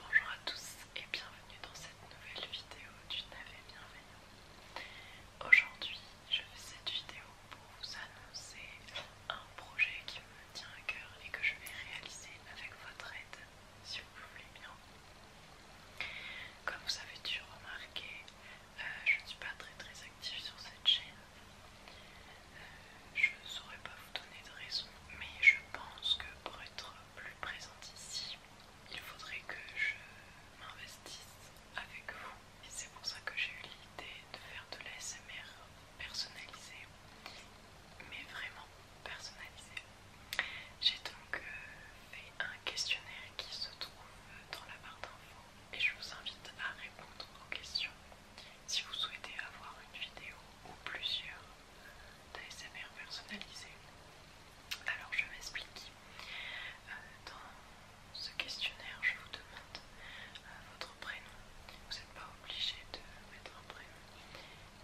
Bonjour à tous et bienvenue dans cette nouvelle vidéo du Navet Bienveillant. Aujourd'hui, je fais cette vidéo pour vous annoncer un projet qui me tient à cœur et que je vais réaliser avec votre aide, si vous voulez bien. Comme vous avez dû remarquer, euh, je ne suis pas très très active sur cette chaîne. Euh, je ne saurais pas vous donner de raison, mais je pense que pour être plus présente ici, il faudrait que je m'investisse avec vous. Et c'est pour ça que j'ai eu l'idée de faire de l'ASMR personnalisé, mais vraiment personnalisé. J'ai donc euh, fait un questionnaire qui se trouve dans la barre d'infos et je vous invite à répondre aux questions. Si vous souhaitez avoir une vidéo ou plusieurs, d'ASMR personnalisé. Alors je m'explique. Euh, dans ce questionnaire, je vous demande euh, votre prénom. Vous n'êtes pas obligé de mettre un prénom,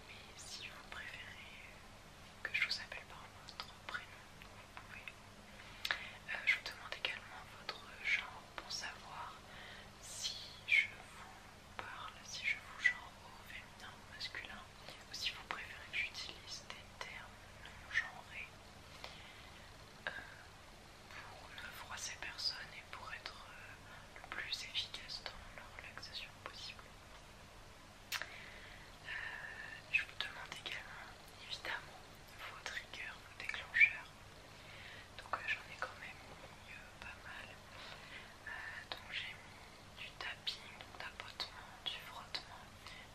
mais si vous préférez que je vous appelle par votre prénom, vous pouvez. Euh, je vous demande également votre genre pour savoir si je vous parle, si je vous genre au féminin ou masculin, ou si vous préférez que j'utilise des termes non genrés euh, pour ne froisser personne et pour être euh, le plus efficace dans la relaxation possible. Euh, je vous demande également, évidemment, vos triggers, vos déclencheurs donc euh, j'en ai quand même mis euh, pas mal. Euh, donc j'ai mis du tapping, du tapotement, du frottement,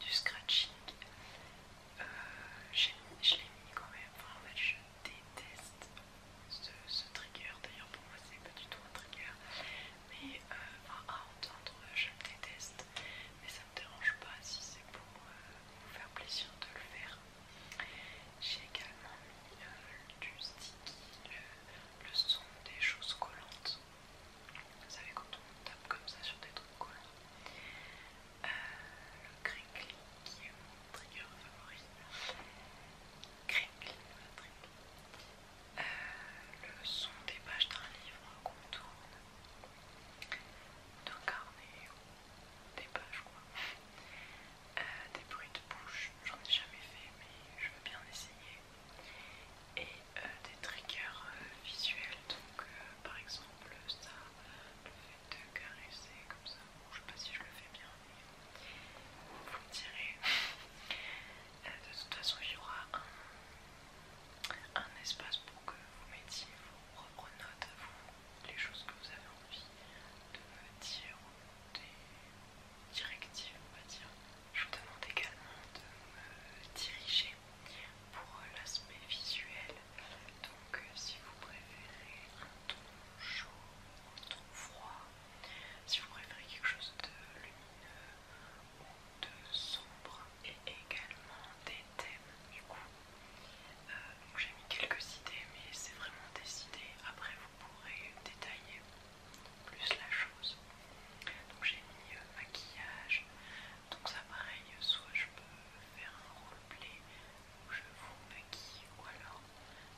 du scratching. j'ai mis, je l'ai mis quand même. Enfin, en fait, je déteste ce, trigger. D'ailleurs, pour moi, c'est pas du tout un trigger. Mais enfin, à entendre, je déteste. Mais ça me dérange pas si c'est pour vous faire plaisir de le faire. J'ai également mis euh, du sticky, le, son des choses collantes. Vous savez, quand on tape comme ça sur des trucs collants, euh, le crinkly qui est mon trigger favori. Euh, le son des pages d'un livre qu'on tourne, d'un carnet des pages quoi. Euh, des bruits de bouche, j'en ai jamais fait mais je veux bien essayer. Et euh, des triggers euh, visuels, donc par exemple ça, le fait de caresser comme ça, je sais pas si je le fais bien mais vous me direz. de toute façon il y aura un, espace pour que vous mettiez vos propres notes, vous les choses que vous avez envie de dire, des directives, on va dire. Je vous demande également de me diriger pour l'aspect visuel. Donc, euh, si vous préférez un ton chaud, un ton froid, si vous préférez quelque chose de lumineux ou de sombre, et également des thèmes. Du coup, donc euh, j'ai mis quelques idées, mais c'est vraiment des idées. Après, vous pourrez détailler plus la chose. Donc j'ai mis euh, maquillage. Donc ça pareil, soit je peux faire un roleplay où je vous maquille, ou alors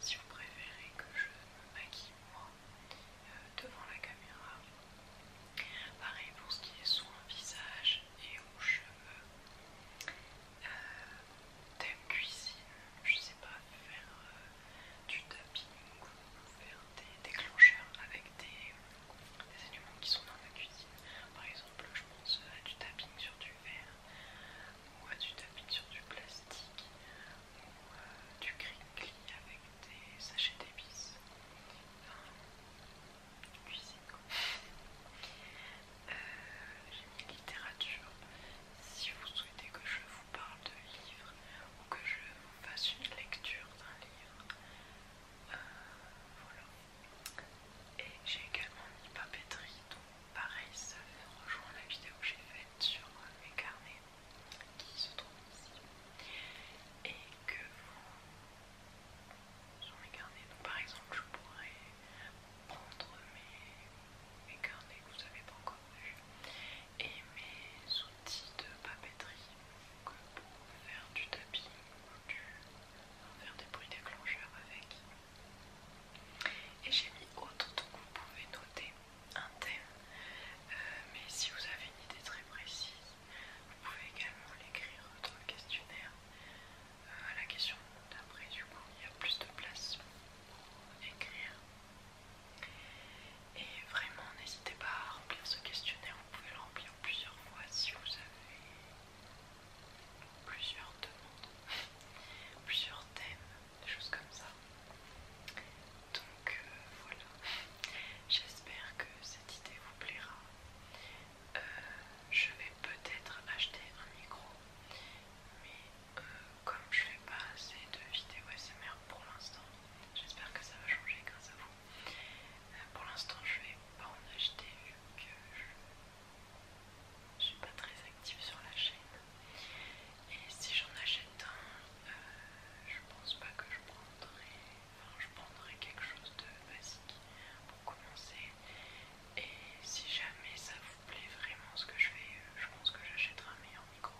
si vous préférez que je me maquille moi euh, devant la caméra. Pareil pour ce qui est soin visage et aux cheveux. Euh, Thème cuisine, je sais pas, faire euh, du tapping ou faire des déclencheurs avec des, éléments qui sont dans la cuisine. Par exemple, je pense à du tapping sur du verre ou à du tapping sur du plastique ou euh, du crinkly avec des sachets d'épices cuisine j'ai mis littérature. Si vous souhaitez que je vous parle de livres ou que je vous fasse une lecture d'un livre, euh, voilà. Et j'ai également mis papeterie, donc pareil, ça rejoint la vidéo que j'ai faite sur mes carnets qui se trouvent ici et que vous sur mes carnets. Donc par exemple je pourrais prendre mes, carnets que vous n'avez pas encore vu et mes outils de papeterie donc pour faire du tapis ou faire des bruits déclencheurs avec. Et j'ai mis autre, donc vous pouvez noter un thème. Euh, mais si vous avez une idée très précise, vous pouvez également l'écrire dans le questionnaire euh, à la question d'après, du coup, il y a plus de place pour écrire. Et vraiment, n'hésitez pas à remplir ce questionnaire, vous pouvez le remplir plusieurs fois si vous avez plusieurs demandes, plusieurs thèmes, des choses comme ça. Donc euh, voilà, j'espère que c'est cette idée vous plaira. Euh, je vais peut-être acheter un micro, mais euh, comme je fais pas assez de vidéos SMR pour l'instant, j'espère que ça va changer grâce à vous. Euh, pour l'instant, je vais pas en acheter vu que je suis pas très active sur la chaîne. Et si j'en achète un, je je pense pas que je prendrai je prendrai quelque chose de basique pour commencer. Et si jamais ça vous plaît vraiment ce que je fais, euh, je pense que j'achèterai un meilleur micro.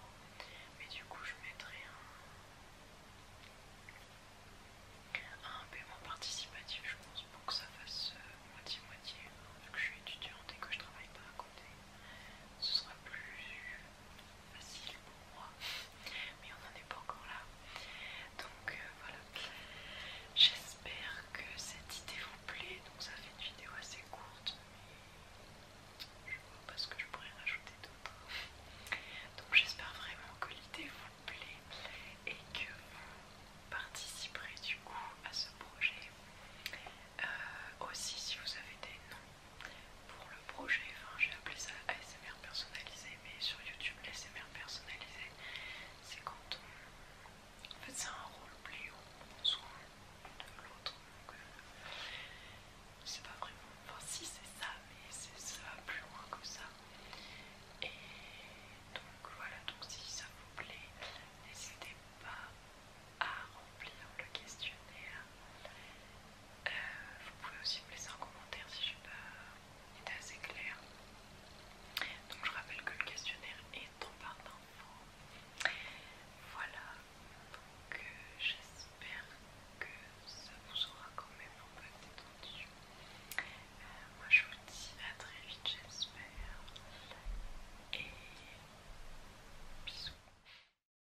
Mais du coup, je mettrai un, paiement participatif, je pense, pour que ça fasse euh, moitié-moitié. Vu que je suis étudiante et que je travaille pas à côté, ce sera plus facile pour moi, mais on n'en est pas encore là. Donc euh, voilà, j'espère que cette idée vous plaît. Donc ça fait une vidéo assez courte, mais je vois pas ce que je pourrais rajouter d'autres. Donc j'espère vraiment que l'idée vous plaît et que vous participerez du coup à ce projet. Euh, aussi si vous avez des noms pour le projet, enfin, j'ai appelé ça ASMR personnalisé, mais sur YouTube, l'ASMR personnalisé, c'est quand on. fait, ça un rôle plus haut soin de l'autre. Donc, euh, c'est pas vraiment. Enfin, si, c'est ça, mais c'est ça plus loin que ça. Et donc, voilà. Donc, si ça vous plaît, n'hésitez pas à remplir le questionnaire euh, vous pouvez aussi me laisser un commentaire si je pas été assez clair. Donc je rappelle que le questionnaire est en part d'infos. Voilà, donc euh, j'espère que ça vous aura quand même un peu détendu. Euh, moi je vous dis à très vite j'espère. Et bisous.